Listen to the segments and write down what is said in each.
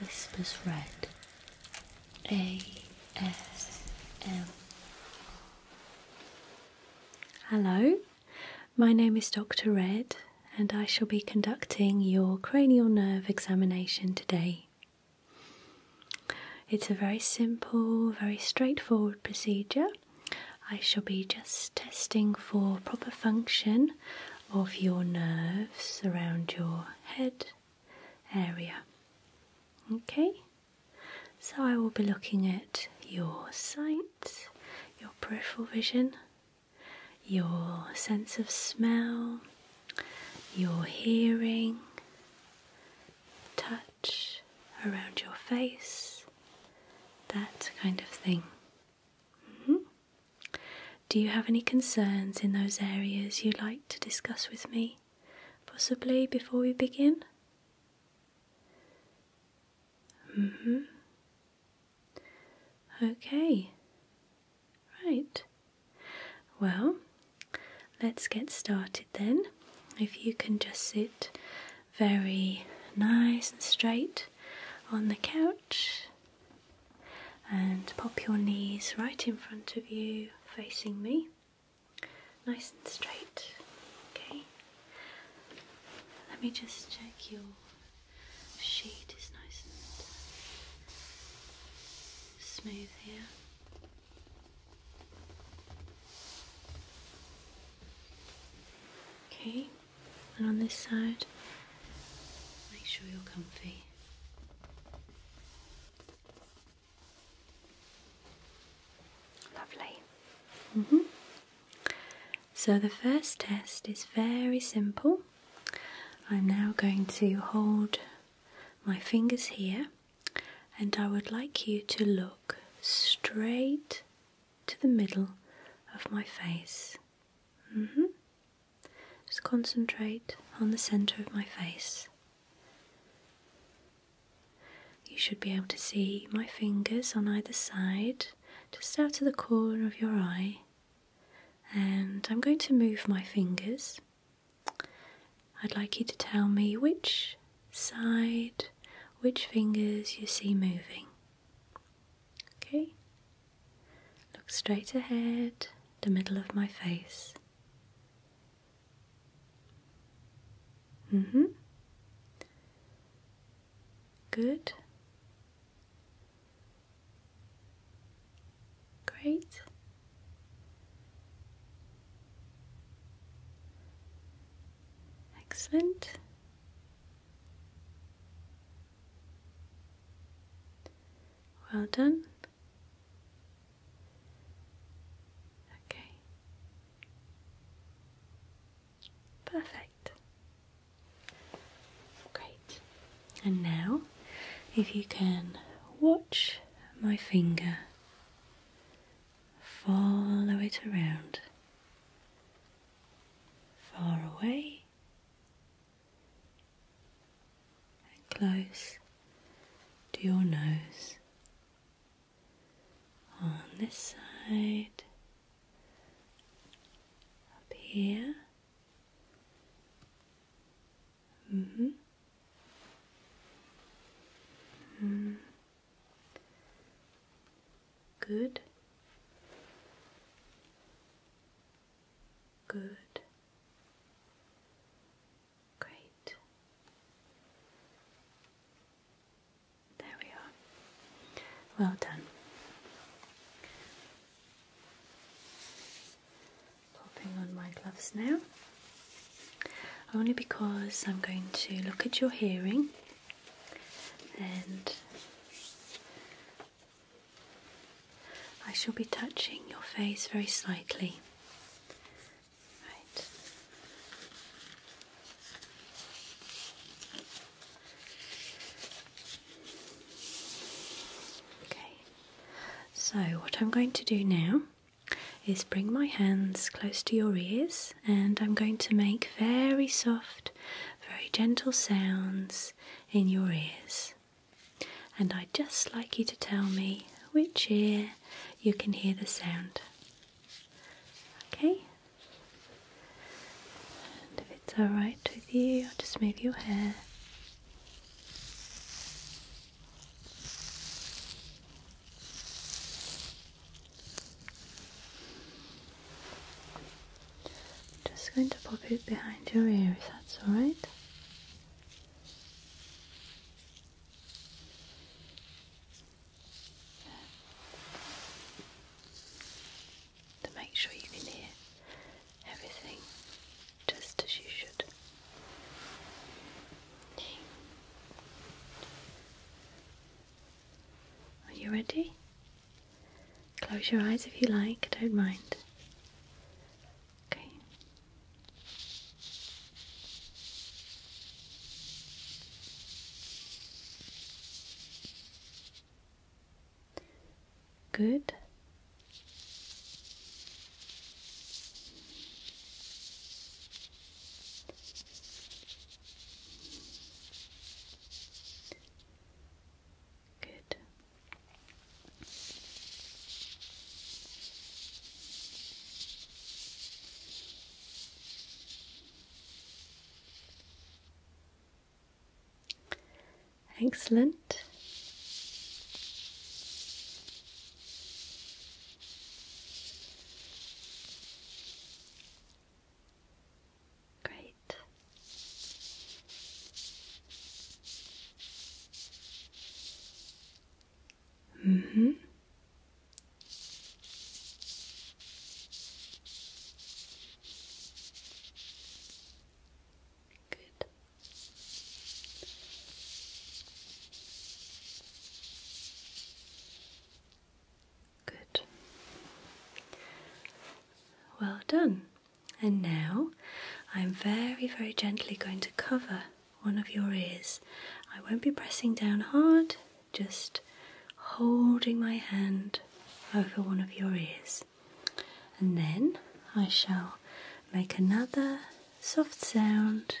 Whispers Red ASM. Hello, my name is Dr. Red, and I shall be conducting your cranial nerve examination today. It's a very simple, very straightforward procedure. I shall be just testing for proper function of your nerves around your head area. Okay, so I will be looking at your sight, your peripheral vision, your sense of smell, your hearing, touch around your face, that kind of thing. Mm-hmm. Do you have any concerns in those areas you'd like to discuss with me, possibly before we begin? Mm-hmm. Okay, right. Well, let's get started then. If you can just sit very nice and straight on the couch, and pop your knees right in front of you, facing me, nice and straight. Okay, let me just check your sheet is nice and smooth here. Okay. And on this side, make sure you're comfy. Lovely. -hmm. So the first test is very simple. I'm now going to hold my fingers here and I would like you to look straight to the middle of my face. -hmm. Just concentrate on the center of my face. You should be able to see my fingers on either side, just out of the corner of your eye. And I'm going to move my fingers. I'd like you to tell me which side, which fingers you see moving. Okay, look straight ahead, the middle of my face. Mm hmm. Good. Great. Excellent. Well done. Okay. Perfect. Great. And now, if you can watch my finger, follow it around, far away and close to your nose on this side, up here. Mm -hmm. Good. Good. Great. There we are. Well done. Popping on my gloves now. Only because I'm going to look at your hearing and I shall be touching your face very slightly. Right. Okay. So, what I'm going to do now is bring my hands close to your ears and I'm going to make very soft, very gentle sounds in your ears. And I'd just like you to tell me which ear you can hear the sound. Okay? And if it's alright with you, I'll just move your hair. I'm just going to pop it behind your ear if that's alright. To make sure you can hear everything just as you should. Are you ready? Close your eyes if you like, don't mind. Okay. Good. Good. Excellent. Great. hmm Good. Good. Well done. And now I'm very, very gently going to cover one of your ears. I won't be pressing down hard, just holding my hand over one of your ears. And then I shall make another soft sound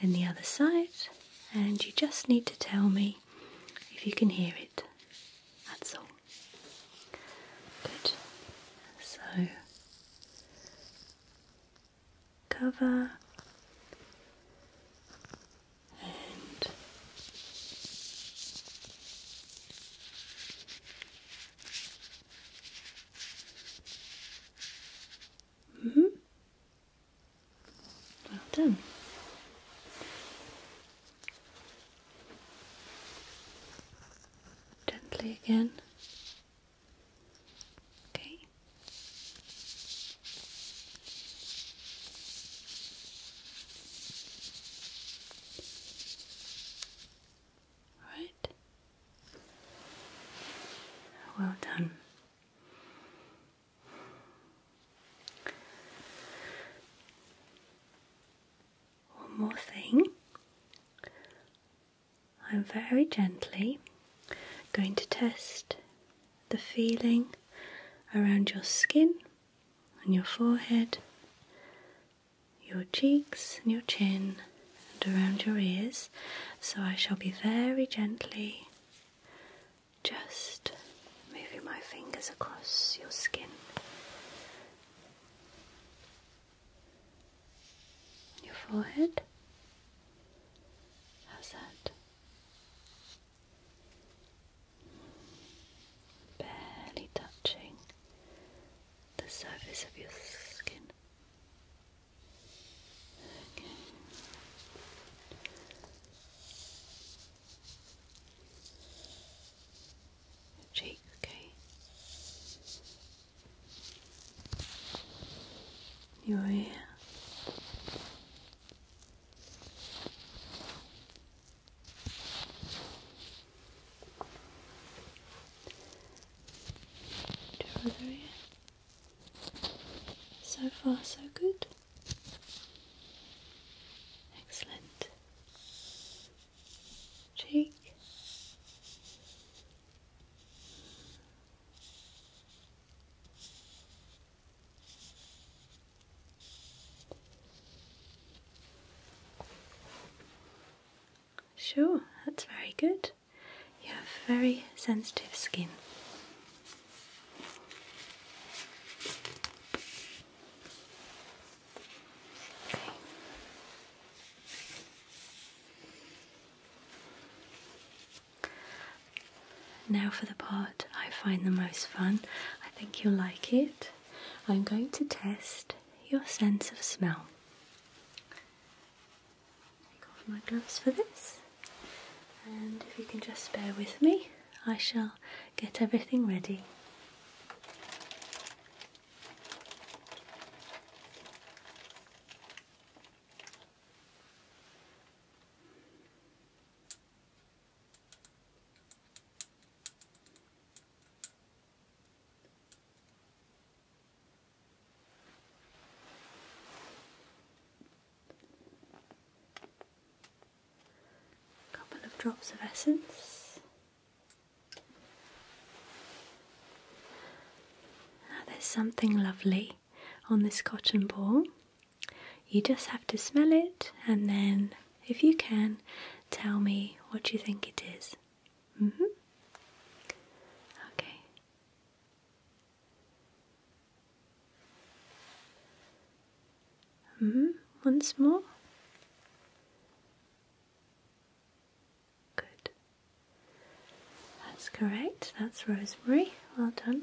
in the other side, and you just need to tell me if you can hear it. That's all. Good. So cover and -hmm. well done. Gently again. Okay. All right. Well done one more thing. I'm very gently going to test the feeling around your skin and your forehead, your cheeks and your chin, and around your ears. So I shall be very gently just moving my fingers across your skin your forehead. How's that? Barely touching the surface of your skin. Okay cheek, okay? Your ear. Your other ear. So far, so good. Excellent cheek. Sure, that's very good. You have very sensitive skin. Now for the part I find the most fun. I think you'll like it. I'm going to test your sense of smell. Take off my gloves for this, and if you can just bear with me, I shall get everything ready a couple of drops of essence. there's something lovely on this cotton ball. You just have to smell it, and then, if you can, tell me what you think it is. -hmm. Okay. Mm, once more. Good. That's correct. That's rosemary. Well done.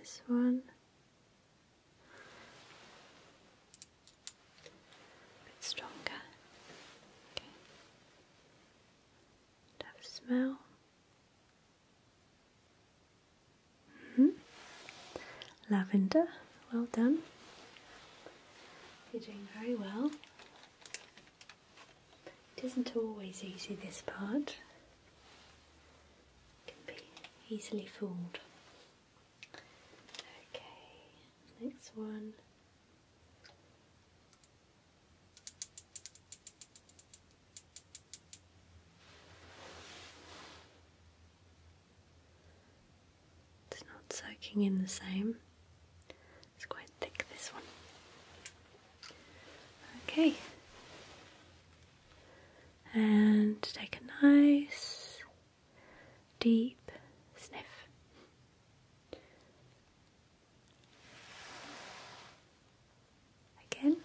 This one a bit stronger. Okay. smell. -hmm. Lavender, well done. You're doing very well. It isn't always easy, this part. It can be easily fooled. Okay, next one. It's not soaking in the same. It's quite thick, this one. Okay. And take a nice deep sniff. Again.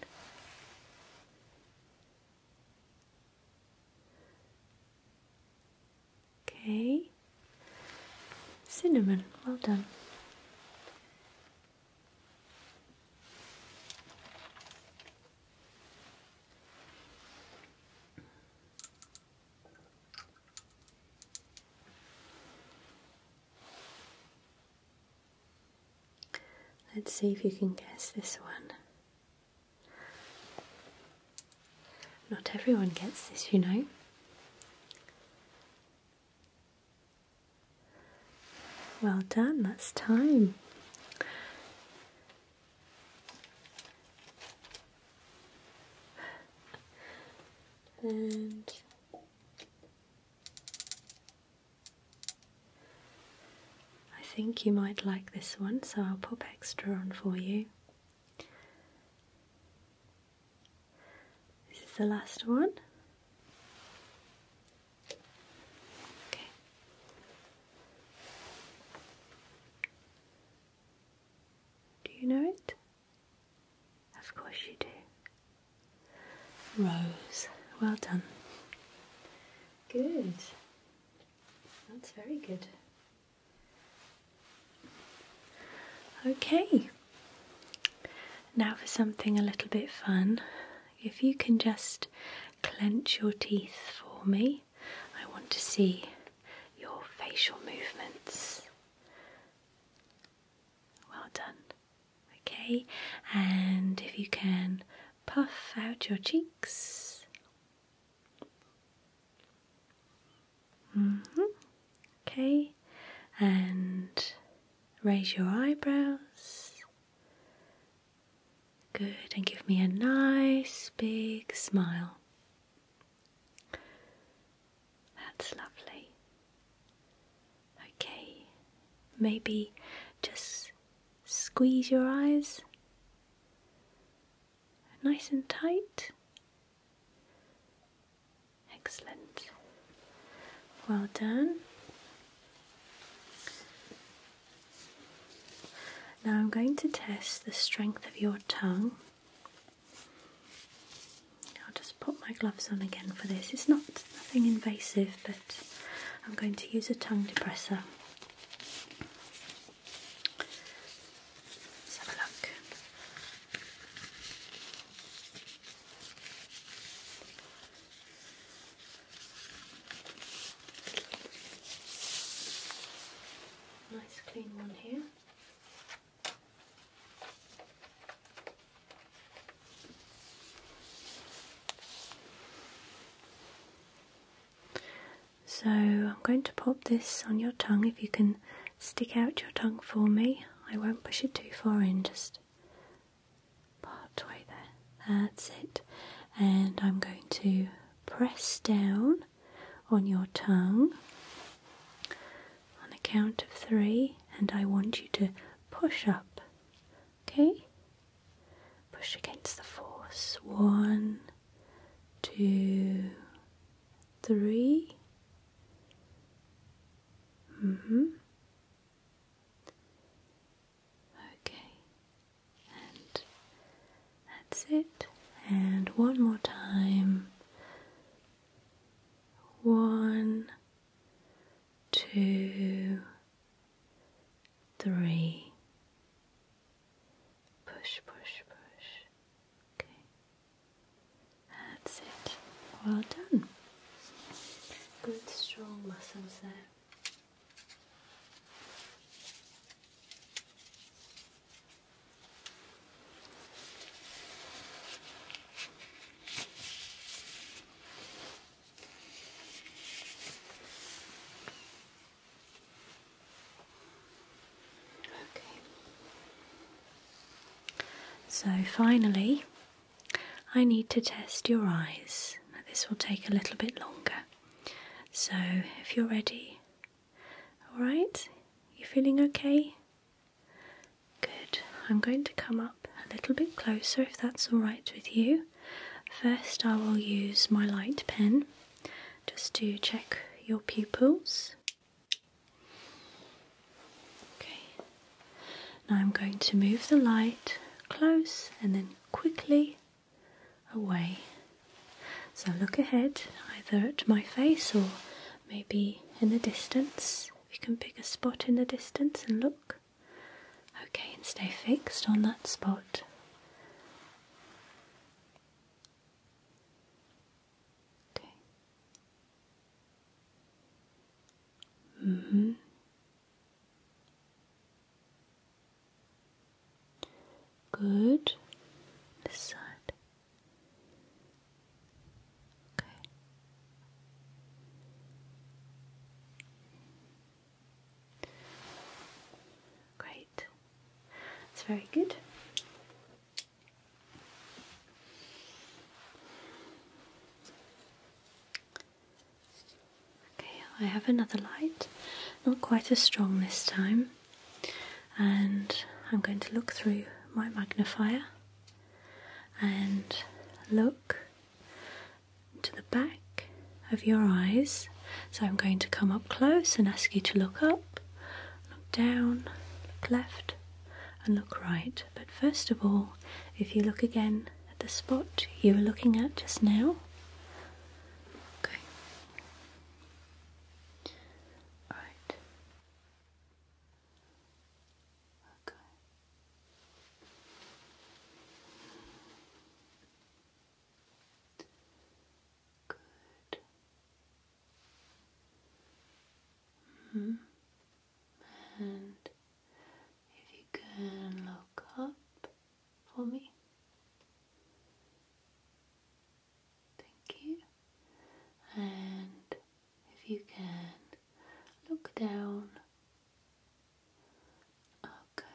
Okay. Cinnamon, well done. Let's see if you can guess this one. Not everyone gets this, you know. Well done, that's time and I think you might like this one, so I'll pop extra on for you. This is the last one. Okay. Do you know it? Of course you do. Rose. Well done. Good. That's very good. Okay. Now for something a little bit fun. If you can just clench your teeth for me. I want to see your facial movements. Well done. Okay, and if you can puff out your cheeks. Mm-hmm. Okay, and raise your eyebrows Good, and give me a nice big smile. That's lovely. Okay, maybe just squeeze your eyes nice and tight. Excellent. Well done. Now I'm going to test the strength of your tongue. I'll just put my gloves on again for this. It's not nothing invasive, but I'm going to use a tongue depressor. have a look. Nice clean one here. So I'm going to pop this on your tongue. If you can stick out your tongue for me, I won't push it too far in, just part way there. That's it. And I'm going to press down on your tongue on the count of three, and I want you to push up. Okay? Push against the force. One, two, three. hmm. Okay, and that's it. And one more time. One, two, three. Push, push, push. Okay, that's it. Well done. Good strong muscles there. Okay. So finally, I need to test your eyes. this will take a little bit longer. So, if you're ready, alright? You feeling okay? Good. I'm going to come up a little bit closer if that's alright with you. First, I will use my light pen just to check your pupils. Okay. Now I'm going to move the light close and then quickly away. So look ahead, either at my face or maybe in the distance. We can pick a spot in the distance and look. Okay, and stay fixed on that spot. Okay. hmm. Good. This side. Okay. Great. That's very good. Okay, I have another light, not quite as strong this time, and I'm going to look through my magnifier and look into the back of your eyes. So I'm going to come up close and ask you to look up, look down, look left, and look right. But first of all, if you look again at the spot you were looking at just now, Okay. All right. Okay. Good. -hmm. And if you can look up for me. Thank you. And if you can look down. Okay.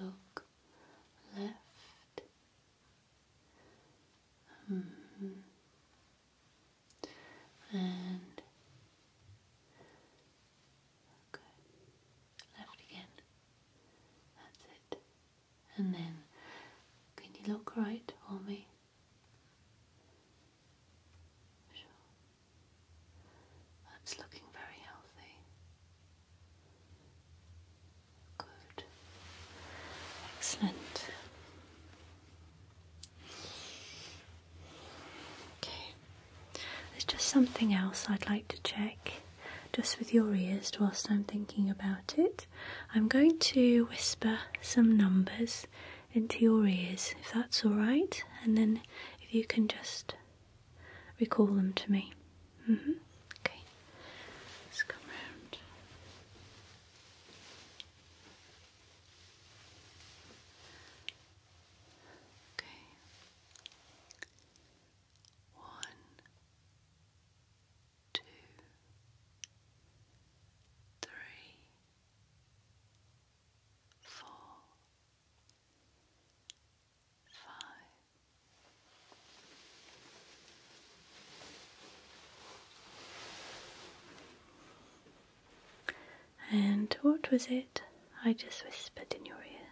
look left. -hmm and good. Left again. That's it. And then, can you look right for me? Sure. That's looking very healthy. Good. Excellent there's just something else I'd like to check just with your ears whilst I'm thinking about it. I'm going to whisper some numbers into your ears if that's alright, and then if you can just recall them to me. Mm-hmm. Okay, Okay. One, two, three, four, five. Okay. And what was it I just whispered in your ear?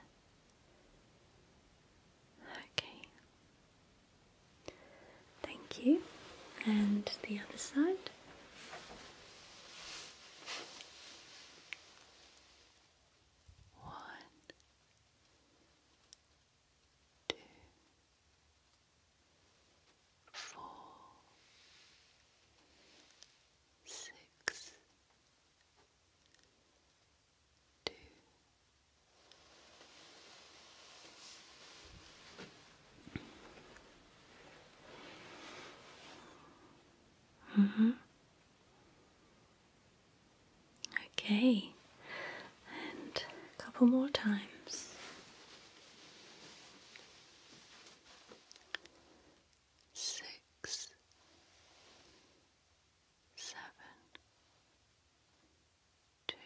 Okay. Thank you. And the other side. One, two, four, six, two, -hmm. Okay, and a couple more times six, seven, two,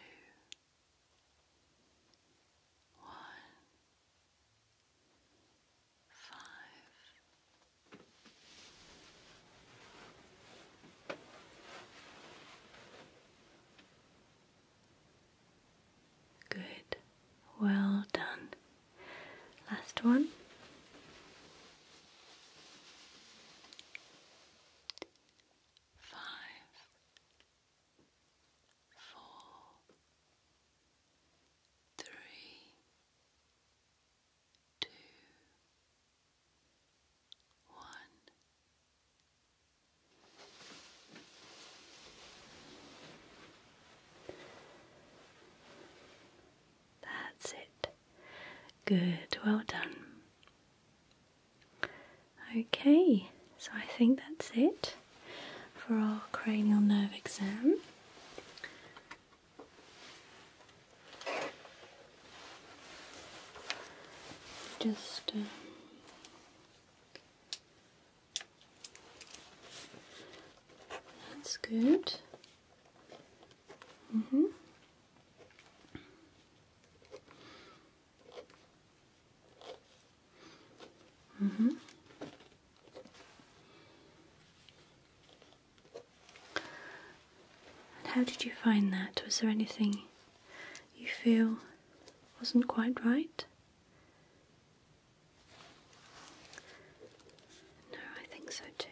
one, five. Six, Good. Well done. Last one. Five, four, three, two, one. That's it. Good, well done. Okay, so I think that's it for our cranial nerve exam. Just um, that's good. hmm hmm How did you find that? Was there anything you feel wasn't quite right? No, I think so too.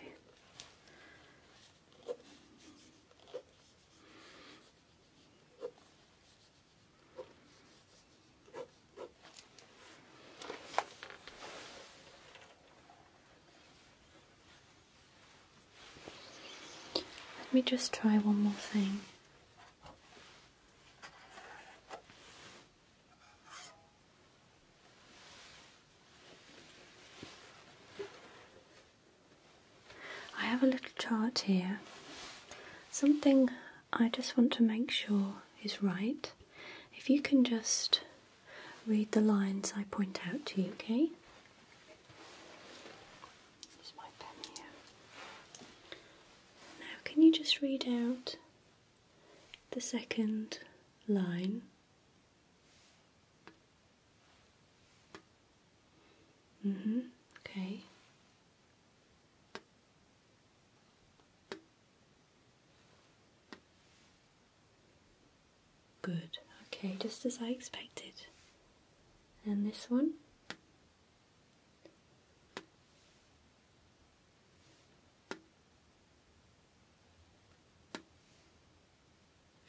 Let me just try one more thing. I have a little chart here. Something I just want to make sure is right. If you can just read the lines I point out to you, okay? Use my pen here. Now, can you just read out the second line? Mm hmm, okay. Good, okay, just as I expected. And this one?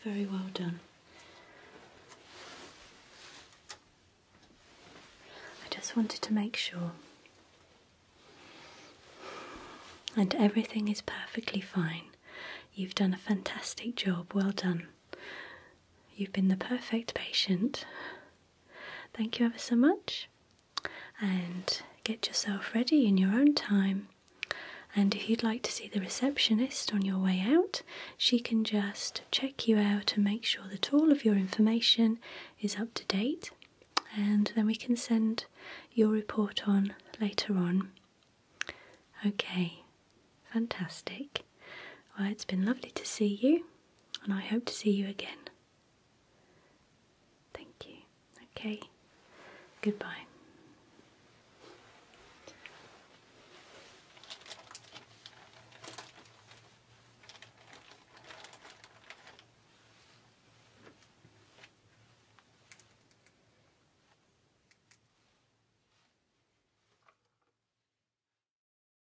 Very well done. I just wanted to make sure. And everything is perfectly fine. You've done a fantastic job. Well done. You've been the perfect patient. Thank you ever so much, and get yourself ready in your own time. And if you'd like to see the receptionist on your way out, she can just check you out and make sure that all of your information is up to date, and then we can send your report on later on. Okay, fantastic. Well, it's been lovely to see you and I hope to see you again. Thank you. Okay, goodbye.